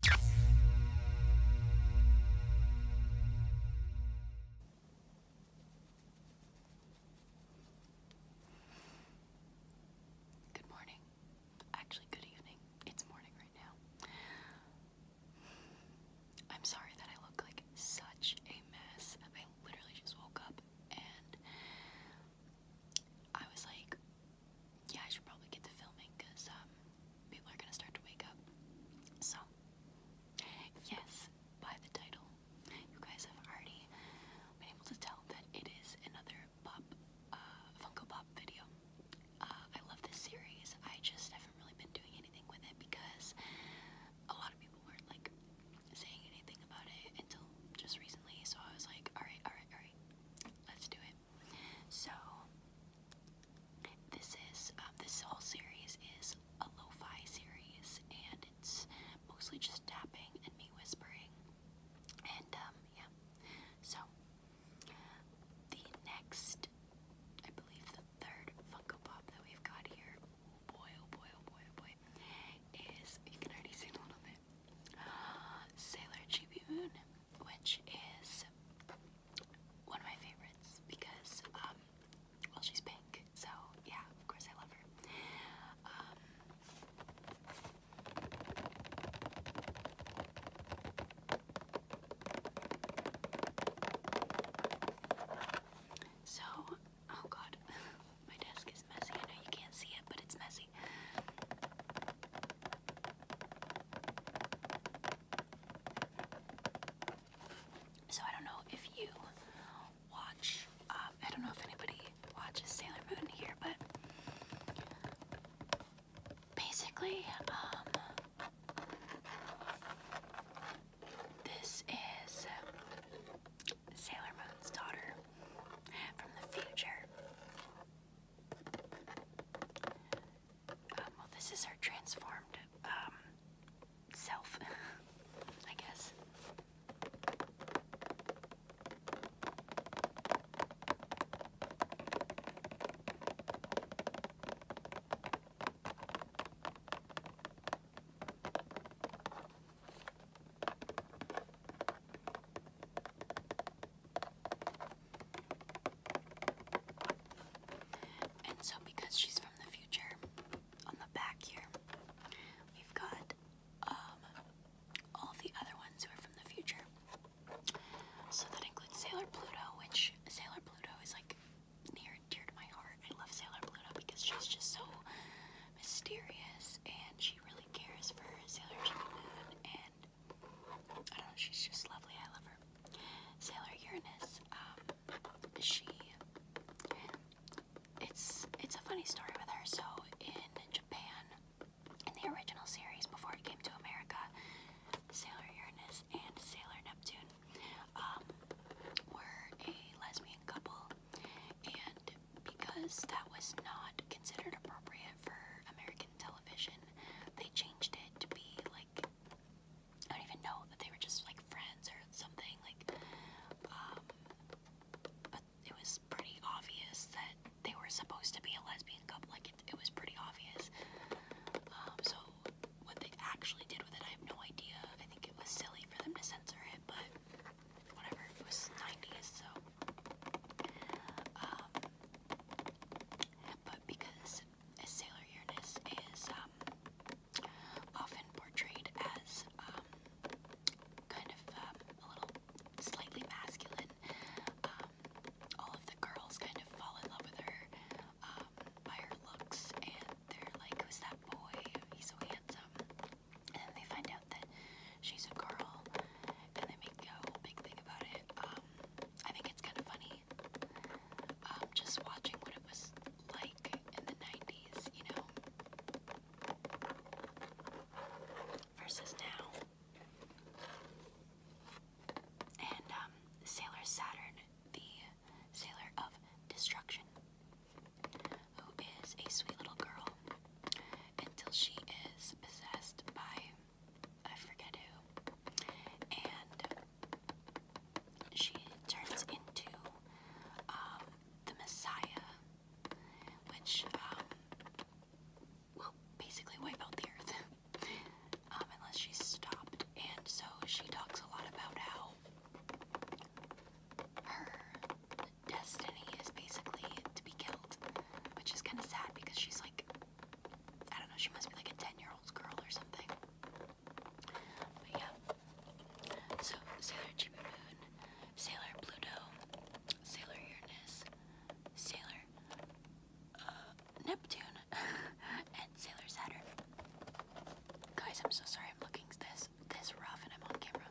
Good morning. Actually, good evening. It's morning right now. I'm sorry that I look like such a mess. I literally just woke up and I was like, yeah, I should probably get to filming because um, people are gonna start to wake up. So, yes, by the title, you guys have already been able to tell that it is another pop, uh, Funko Pop video. Uh, I love this series. I just haven't really been doing anything with it because a lot of people weren't like saying anything about it until just recently. So I was like, all right, all right, all right, let's do it. So this is uh, this whole series is a lo series, and it's mostly just tapping and me whispering, and um, yeah. So the next, I believe, the third Funko Pop that we've got here. Oh boy, oh boy, oh boy, oh boy, is you can already see a little bit. Sailor Chibi Moon which is one of my favorites because, um, well, she's pink, so yeah, of course I love her. Um, so, oh god, my desk is messy. I know you can't see it, but it's messy. So I don't know if you watch. Um, I don't know if anybody watches Sailor Moon here, but basically, um, this is Sailor Moon's daughter from the future. Um, well, this is our transformed um, self, I guess. And so, because she's from the future, on the back here, we've got um, all the other ones who are from the future. So that includes Sailor Pluto, which Sailor Pluto is like near and dear to my heart. I love Sailor Pluto because she's just so mysterious and she really cares for Sailor Jimmy and I don't know, she's just lovely. I love her. Sailor Uranus, um, she, it's, it's a funny story with her. So in Japan, in the original series before it came to America, Sailor Uranus and Sailor Neptune um, were a lesbian couple, and because that was not considered appropriate for American American television, they changed it to be like I don't even know that they were just like friends or something like. Um, but it was pretty obvious that they were supposed to be a lesbian couple. Like it, it was pretty obvious. Um, so what they actually did with it, I have no idea. I think it was silly for them to censor it, but whatever. It was 90s, so. Um, but because Sailor Uranus is um, often portrayed as um, kind of um, a little slightly masculine, all of the girls kind of fall in love with her by her looks, and they're like, "Who's that boy? He's so handsome." And they find out that she's a girl, and they make a big thing about it. I think it's kind of funny. Um, just watching what it was like in the 90s, you know, versus now. And um, Sailor Saturn, the Sailor of Destruction, who is a sweet little girl until she is possessed by I forget who, and she turns into um, the Messiah, which um, will basically wipe out the earth um, unless she's stopped. And so she talks a lot about how her destiny is basically to be killed, which is kind of sad because she's like I don't know, she must be like a 10 year old girl or something. But yeah. So, Sailor Chibi Sailor Pluto, Sailor Uranus, Sailor uh, Neptune, and Sailor Saturn. Guys, I'm so sorry I'm looking this this rough and I'm on camera.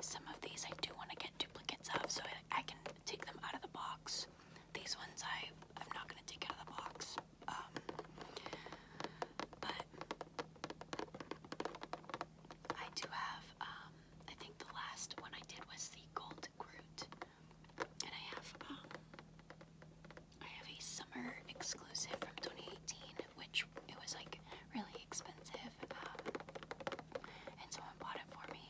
Some of these I do want to get duplicates of so I, can take them out of the box. These ones I, I'm not going to take out of the box. Um, but I do have, um, I think the last one I did was the Gold Groot. And I have um, I have a summer exclusive from 2018, which it was like really expensive, um, and someone bought it for me,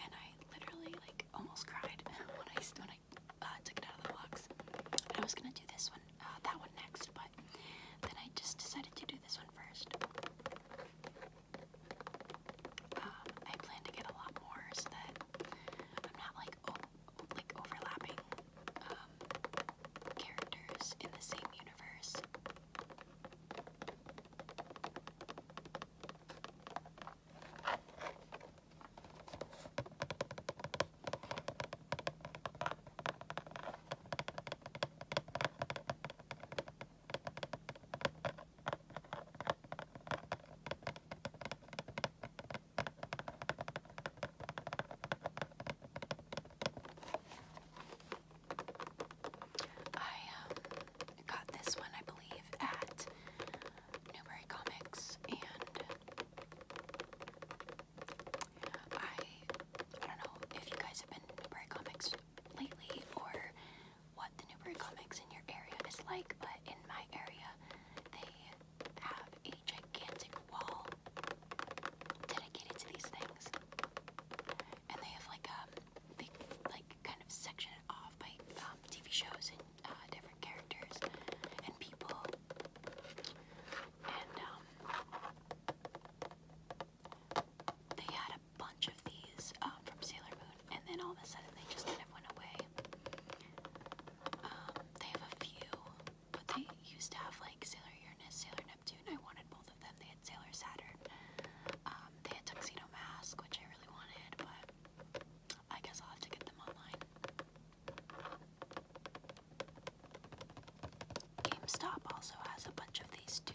and I literally like almost cried when I when I uh, took it out of the box. I was gonna do this one, uh, that one next, but then I just decided to do this one first. Um, I plan to get a lot more so that I'm not like like overlapping um, characters in the same universe. I um, got this one, I believe, at Newberry Comics, and I I don't know if you guys have been to Comics lately or what the Newbury Comics in your area is like, but in my area, they have a gigantic wall dedicated to these things, and they have like um they like kind of section it off by um, TV shows and uh, different characters and people, and um they had a bunch of these um, from Sailor Moon, and then all of a sudden they just kind of went away. Um, they have a few, but they used to have like Sailor Uranus, Sailor Neptune. I wanted both of them. They had Sailor Saturn. Um, they had Tuxedo Mask, which I really wanted, but I guess I'll have to get them online. GameStop also has a bunch of these too.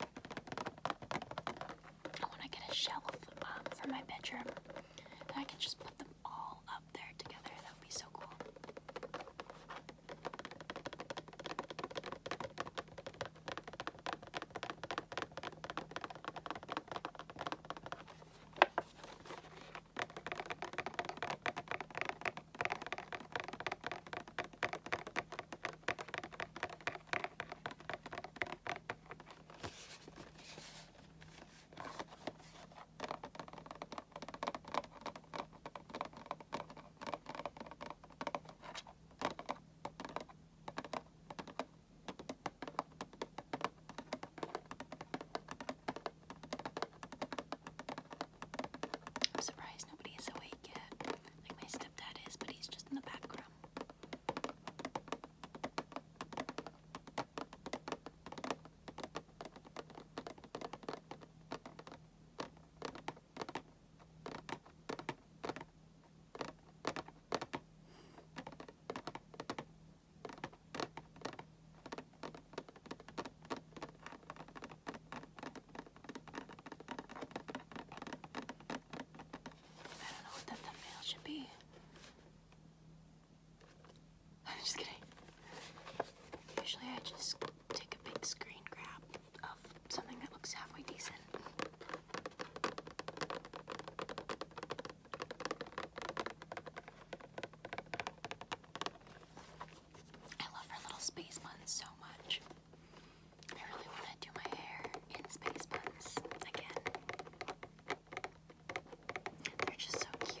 I want to get a shelf um, for my bedroom, and I can just put them all up there together. That would be so cool. I'm surprised nobody is awake yet. Like my stepdad is, but he's just in the background. I don't know what that thumbnail should be. I'm just kidding. Usually I just take a big screen grab of something that looks halfway decent. I love her little space buns so much. I really want to do my hair in space buns again. They're just so cute.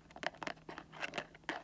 I'm moving the camera.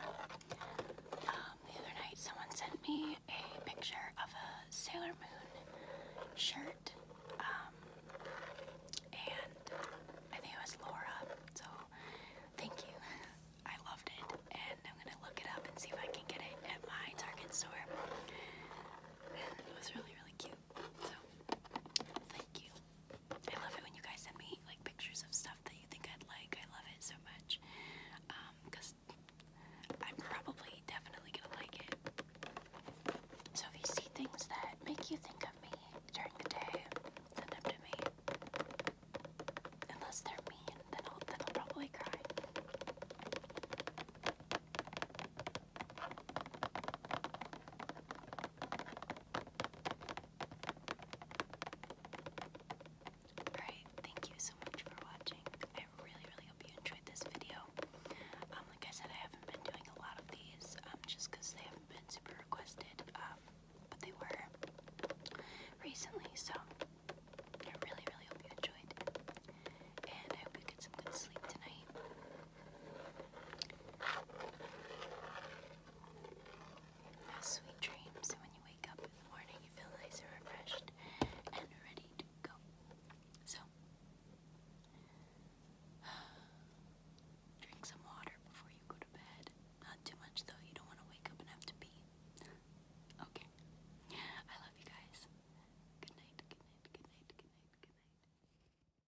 Um, the other night, someone sent me a picture of a Sailor Moon shirt, um, and I think it was Laura. So, thank you. I loved it, and I'm gonna look it up and see if I can get it at my Target store. it was really, really cute. So, thank you. I love it when you guys send me like pictures of stuff that you think I'd like. I love it so much. Um, cause I'm probably definitely gonna like it. So if you see things that make you think of me during the day, send them to me. Unless they're mean, then I'll then I'll probably cry. Alright, thank you so much for watching. I really, really hope you enjoyed this video. Um, like I said, I haven't been doing a lot of these um, just they haven't been super requested, um, but they were recently, so I really, really hope you enjoyed. And I hope you get some good sleep tonight. Have sweet dreams, and when you wake up in the morning, you feel nice refreshed and ready to go. So, drink some water before you go to bed. Not too much, though, you don't want to wake up and have to pee. okay. I love you guys. Good night, good night, good night, good night, good night.